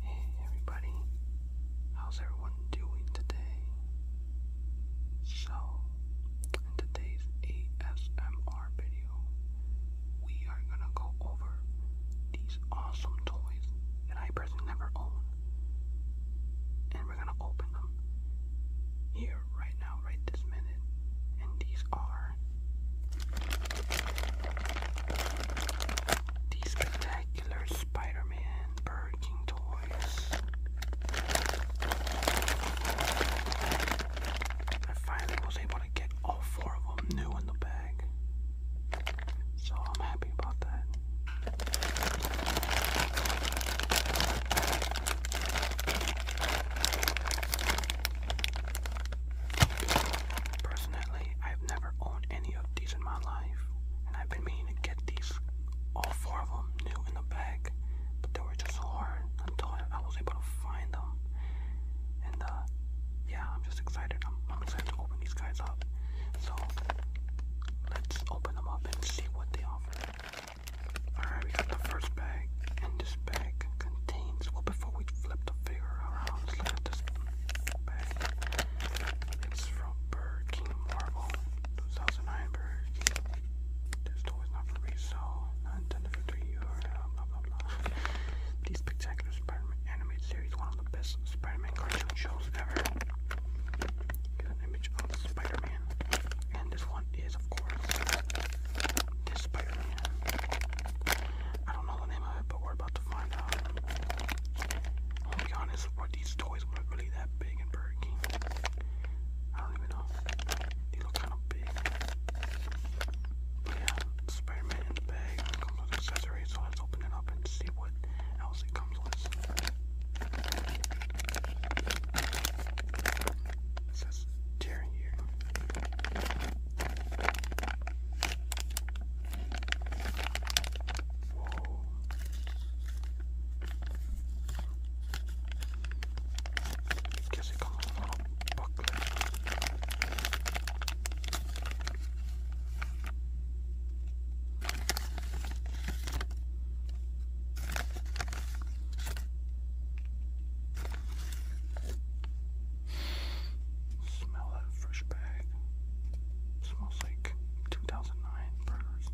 Hey everybody, how's everyone doing today? So, in today's ASMR video, we are gonna go over these awesome toys that I personally never own. And we're gonna open them here right now, right this minute, and these are these spectacular Spider-Man Burger King toys. I finally was able to get all four of them new in the bag, so I'm happy about that. Personally, I've never owned any of these in my life, and I've been meaning to get these, all four of them, new in the bag, but they were just so hard until I was able to find them. And uh, yeah, I'm just excited. I'm, I'm excited to open these guys up. So let's open them up and see what they offer. Alright, we got the first bag, and this bag contains. Well, before we flip the figure around, let's look at this bag. It's from King Marvel 2009 King. This toy is not for resale, not intended for 3 euros, blah blah blah. The spectacular Spider Man animated series, one of the best Spider Man cartoon shows ever. Here's an image of Spider Man, and this one is, of course, is Spider-Man. I don't know the name of it, but we're about to find out. i be honest, these toys were really that big in Burger I don't even know. They look kind of big. yeah, Spider-Man bag. comes with accessories, so let's open it up and see what else it comes with tearing you. Whoa. Guess it comes with a little booklet. Smell that fresh bag. smells like 2009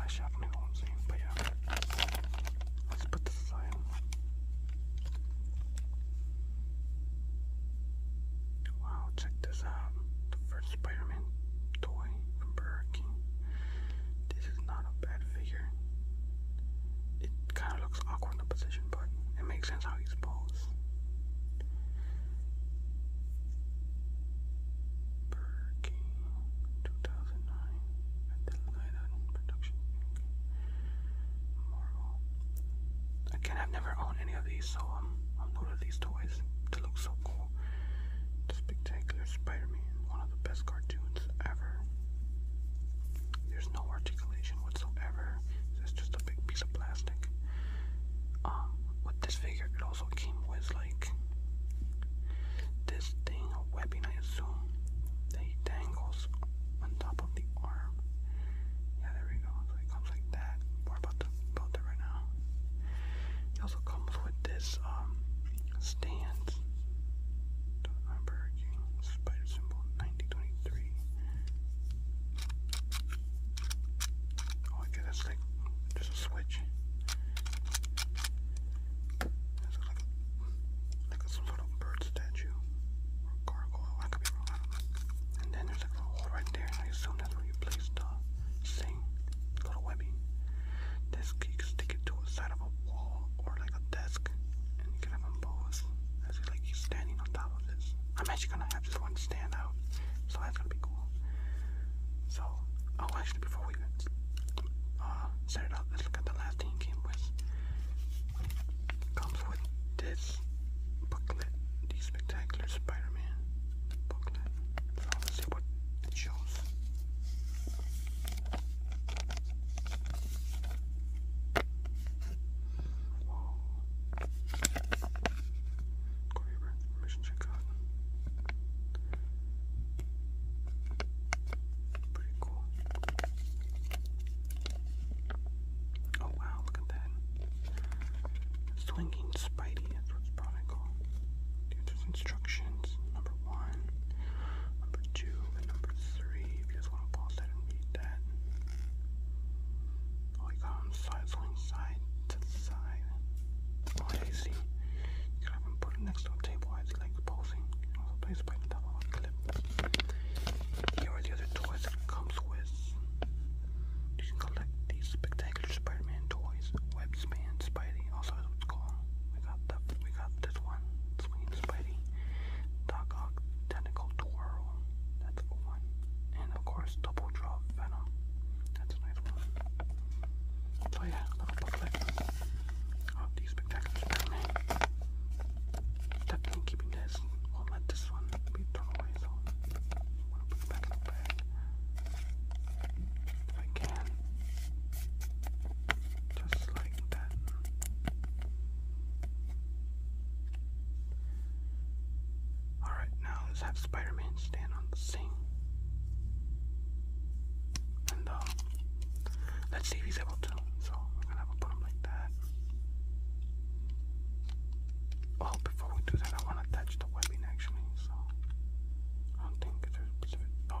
I should new ones eh? but yeah. Let's put this aside. Wow, check this out. first Spider Man toy from Burger King. This is not a bad figure it kind of looks awkward in the position, but it makes sense how he's posed. Burger King, 2009, Adelina Production, Marvel. Again, I've never owned any of these, so um, I'm new these toys. They look so cool. Spectacular Spider-Man one of the best cartoons ever. There's no articulation whatsoever. It's just a big piece of plastic. Um, with this figure, it also came with like this thing, a weapon, I assume, that dangles on top of the arm. Yeah, there we go. So it comes like that. we about to build right now. It also comes with this um, stands. Donut King, spider symbol, 1923. Oh, okay, that's like just a switch. That's like, like a, some bird statue And then there's like a hole right there, I assume that's where you place the thing, little webbing. This you stick it to the side of a wall or like a desk, and you can have them both. As you like, he's standing on top of this. I'm actually gonna have this one stand out, so that's gonna be cool. So, oh, actually, before we uh, set it up, let's look at the last thing it came with. comes with this booklet, the Spectacular Spider-Man booklet. So let's see what it shows. Mission check out. Pretty cool. Oh wow, look at that. Slinking Spidey, that's what probably called. Dude, instructions, number number one, number two, and number three. If you just want to pause that and read that. Oh, you side, going side to side. Oh, I see. You can have put it next to a table as he posing. also place by the top clip. Here are the other toys that it with. You can collect these spectacular Spider-Man toys. Webspan Spidey, also is what's called got that. We got this one. Swinging Spidey. Doc Ock Tentacle Twirl. That's one. And of course, Double Draw Venom. That's a nice one. So yeah, little booklet of these spectacular Definitely keeping this. Won't let this one be thrown away. So put it back in the bag if I can. Just Alright, now let's have Spider Man stand on the scene, And uh, let's see if he's able to. So we're gonna have to put him like that. Oh, before we do that, I want to attach the webbing actually. So I don't think there's specific. Oh,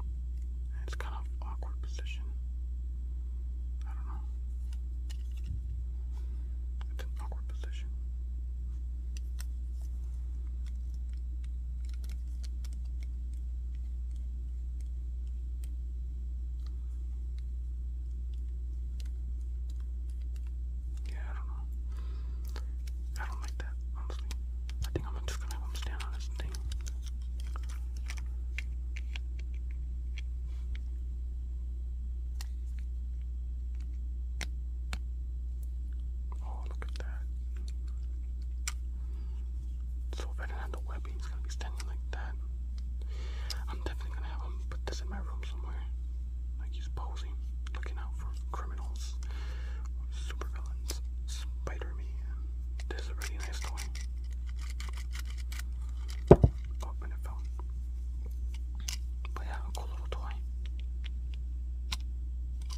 And it's kind of awkward position. I don't know. It's an awkward position. Yeah, I don't like that, I think I'm just gonna have him stand on this thing. Oh, look at that. So if have the webbing, he's gonna be standing like that. I'm definitely gonna have him put this in my room somewhere. Like he's posing, looking out for criminals, supervillains, Spider-Man. This is a really nice toy. Oh, and it But yeah, a cool little toy.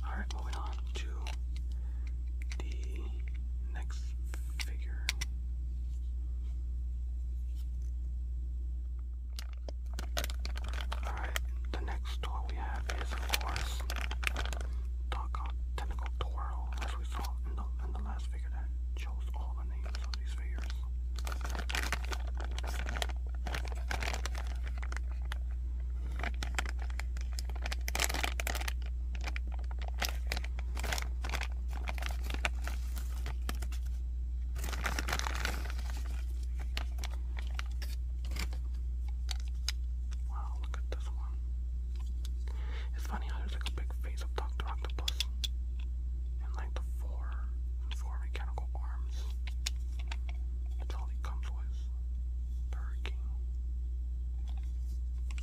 Alright, moving on to the next figure. Alright, the next toy we have is, of course, Doc Tentacle Twirl, as we saw in the last figure that chose all the names of these figures. Wow, look at this one. It's funny how there's like a big face of Dr. Octopus and like the four four mechanical arms. That's all comes with. Burger King.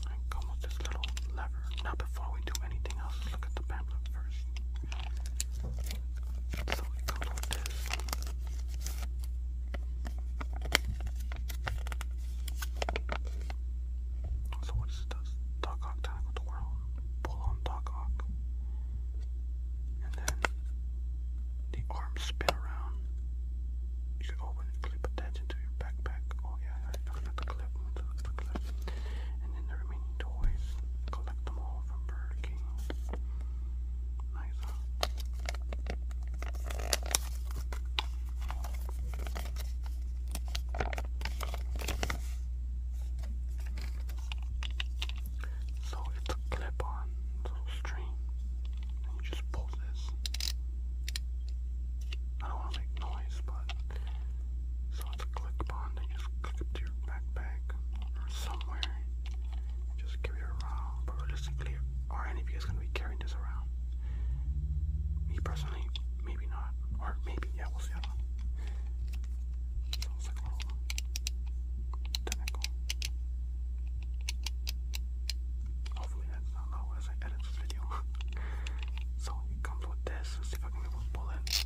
And with this little lever. Now before we do anything else, look at the pamphlet first. So it comes this. So what is this? Doc Ock Tentacle Twirl. Pull on Doc Ock. And then the arms spin around. You can open and clip attached to your backpack. Oh yeah, I don't clip. And then the remaining toys. Collect them all from Burger King nicer. So it's a clip on little string, you just pull this. I don't want to make noise, but so it's a clip on you just click it to your backpack or somewhere just give it a but realistically, are any of you guys gonna be carrying this around? Me personally, maybe not. Or maybe, yeah, we'll see. I don't So it's a little technical. Hopefully that's not low as I edit this video. so it comes with this. Let's see if I can move a bullet.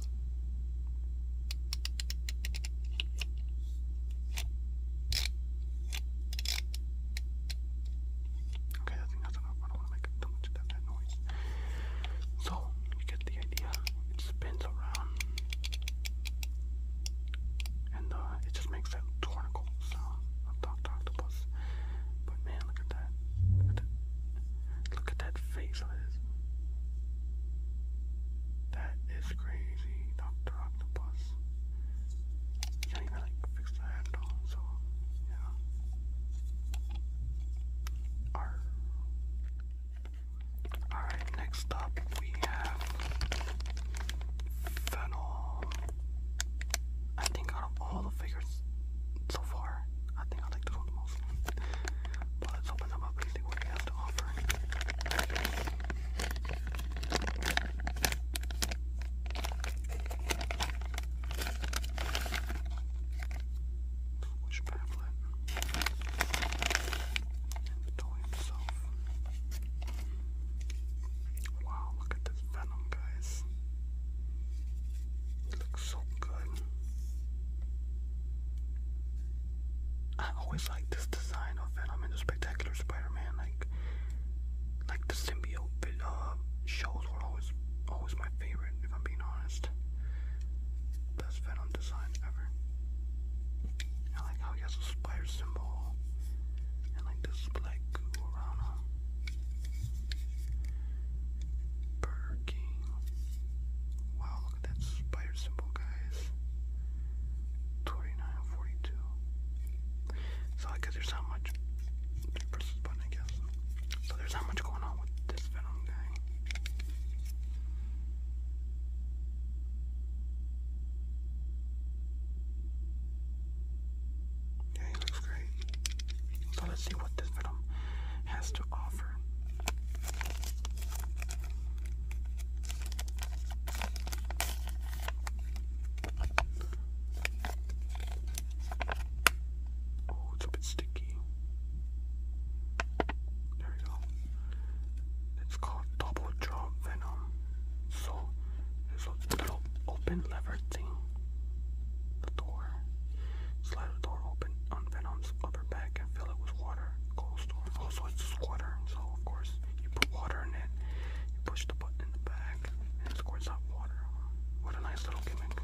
Okay, I think I don't want to make too much of that, noise. So, you get the idea. It spins around. And uh, it just makes that tornicle sound of Dr. Octopus. But man, look at that. Look at that, look That is crazy octopus. can't even like fix the handle, so yeah. R. Alright, next up we have Fennel. I think out of all the figures so far, I think I like this one the most. But let's open them up and see what we have have to Which pamphlet? And the toy himself. Wow, look at this venom, guys. It looks so good. I always like this design of Venom and the Spectacular Spider-Man. Like, like the symbiote uh, shows were always, always my favorite. If I'm being honest, best Venom design ever. I like how he has a spider symbol and like this black goo around Wow, that spider symbol, guys. 2942. So, I guess there's how much. Press this button, I So, there's how much going on with this Venom guy. Yeah, he looks great. So let's see what this Venom has to offer. Oh, it's a bit sticky. There we go. It's called double jaw venom. So there's a little open lever thing. The door. Slide the door open on Venom's upper back and fill it with water. Goes store. Also, it's a so of course you put water in it. You push the button in the back, and it squirts out water. What a nice little gimmick!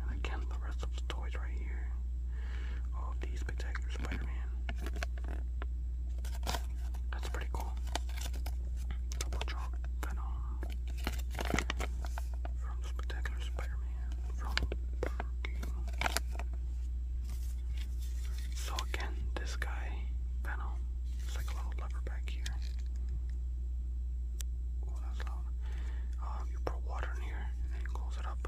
And again, the rest of the toys right here. All these spectacular Spider-Man. That's pretty cool. Double chalk Venom from Spectacular Spider-Man from so again, this guy, Venom, it's like a little lever back here. Oh, that's Um, you pour water in here and close it up.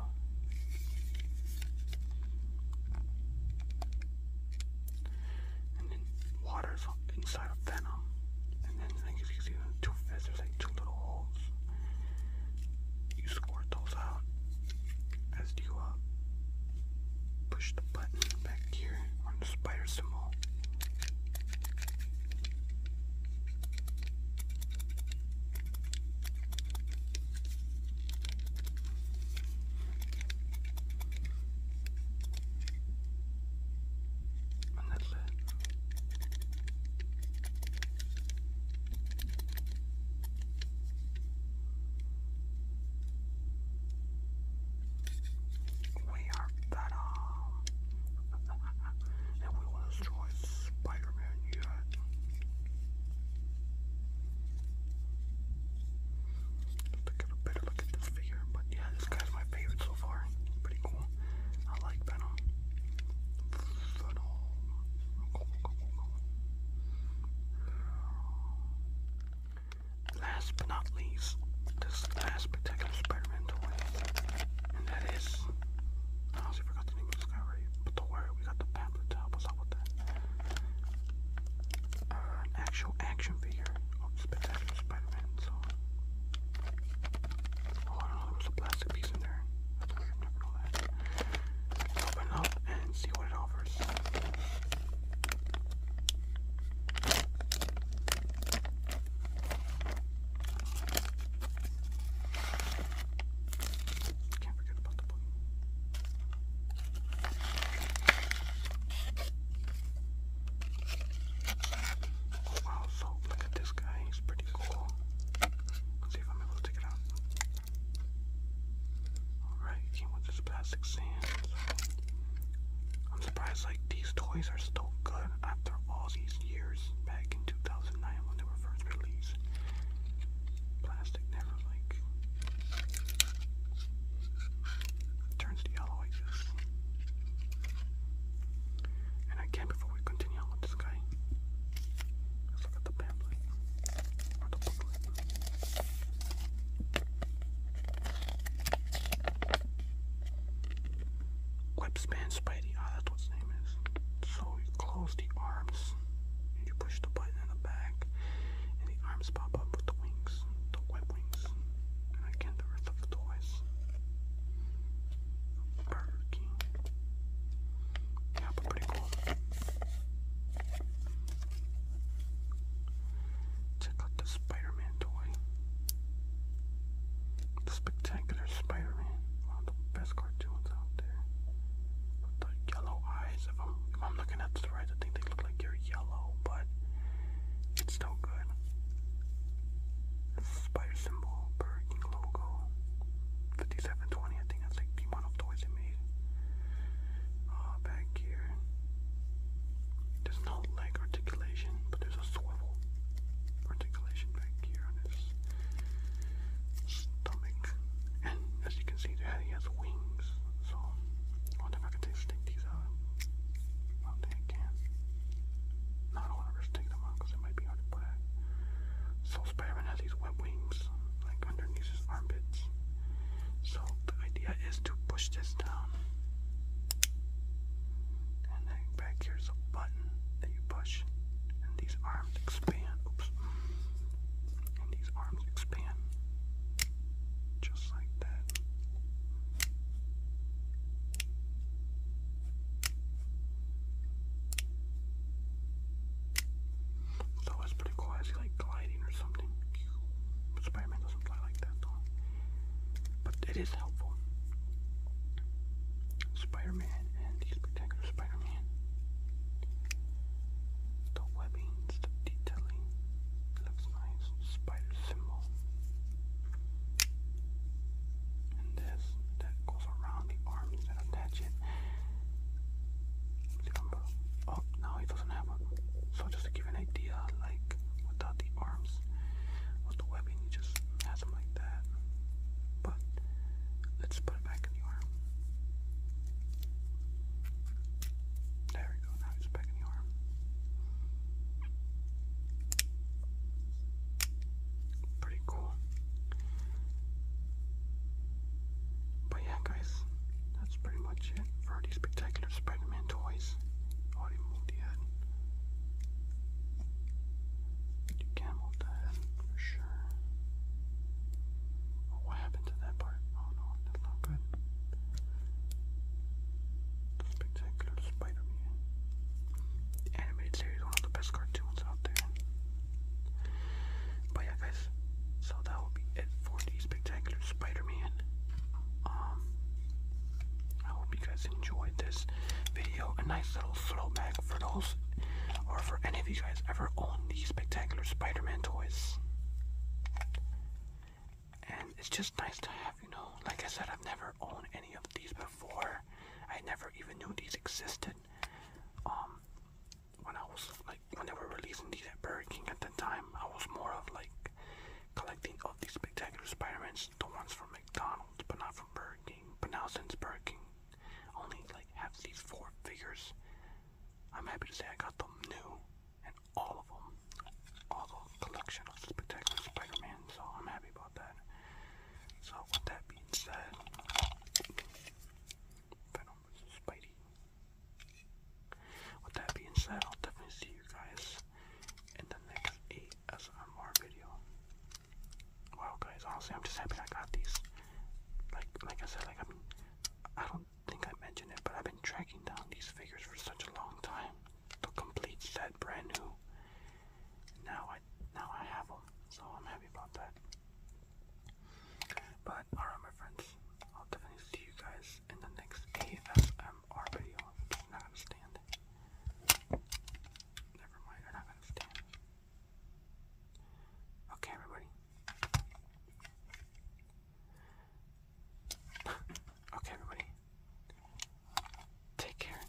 And then water's inside of Venom. And then I you see two there's like two little holes. You squirt those out as you uh, push the button back here on the spider symbol. And that's it. We are Venom. and we will destroy Spider Man yet. Let's take a better look at this figure. But yeah, this guy's my favorite so far. Pretty cool. I like Venom. Venom. Last but not least, this last particular Spider-Man toy, and that is, I honestly forgot the name of this guy already, but don't worry, we got the pamphlet to help us out with that. Uh, actual action figure of Spectacular Spider-Man, Oh, I there was a plastic piece in there. open up and see what it offers course. Can't forget about the book. Oh, wow, so look at this guy, he's pretty cool. Let's see if I'm able to take it out. Alright, came with this plastic sand. I'm surprised like these toys are still good after all these years back in 2009 when they were first released. Plastic never like turns to yellow I guess. And again before we continue on with this guy. Look at Spidey. Ah, that's what his name is. So you close the arms and you push the button in the back and the arms pop up with the wings. The web wings. And again the earth of the toys. Burger yeah, but pretty cool. Check out the Spider-Man toy. The spectacular Spider-Man. One of the best cartoons out there. the yellow eyes. If I'm looking at this right, I think they look like they're yellow, but it's still good. This spider symbol, Burger logo. 5720, I think that's like the amount of toys they made uh, back here. There's no leg articulation, but there's a swivel articulation back here on his stomach. And as you can see, there he has wings. So I wonder if I can stick these out. I don't No, I want to risk them out because it might be hard to put So spider has these his web wings, like underneath his armpits. So the idea is to push this down. And then back here's a button that you push, and these arms expand. Oops. And these arms expand. Just like that. So it's pretty cool. I like gliding or something. But doesn't fly like that though. But it is helpful. Spider and the spectacular Spider The webbings, the detailing. Looks nice. Spider symbol. And this that goes around the arms that attach it remember? Oh, now he doesn't have one. So just to give you an idea, like without the arms, with the webbing, he just has them like that. But let's put it back in the arm. There we go. Now he's back in the arm. Pretty cool. But yeah, guys, that's pretty much it for the spectacular Spider-Man toys. Oh, they move the head for sure. Oh, what happened to that part? Oh no, that's not good. Spectacular Spider-Man. animated series one of the best cartoons out there. But yeah, guys. So that will be it for the spectacular Spider-Man. Um, I hope you guys enjoyed this video. A nice little throwback for those, or for any of you guys ever own these spectacular Spider-Man toys. And it's just nice to have, you know. Like I said, I've never owned any of these before. I never even knew these existed. Um, when I was like when they were releasing these at Burger King at that time, I was more of like collecting all these spectacular Spider-Mans, the ones from McDonald's, but not from Burger King. But now since Burger King only like have these four figures, I'm happy to say I got them new and all of them, all the collection of spectacular Spider-Man. So I'm happy about that. So with that being said, Spidey. With that being said, I'll definitely see you guys in the next ASMR video. Wow, guys, honestly, I'm just happy I got these. Like, like I said, like I am I don't think I mentioned it, but I've been tracking down these figures for such a long time. The complete set, brand new. Now I, now I have them, so I'm happy about that. But alright my friends, I'll definitely see you guys in the next ASMR video. not gonna stand. Never mind, not gonna stand. Okay everybody. okay everybody. Take care.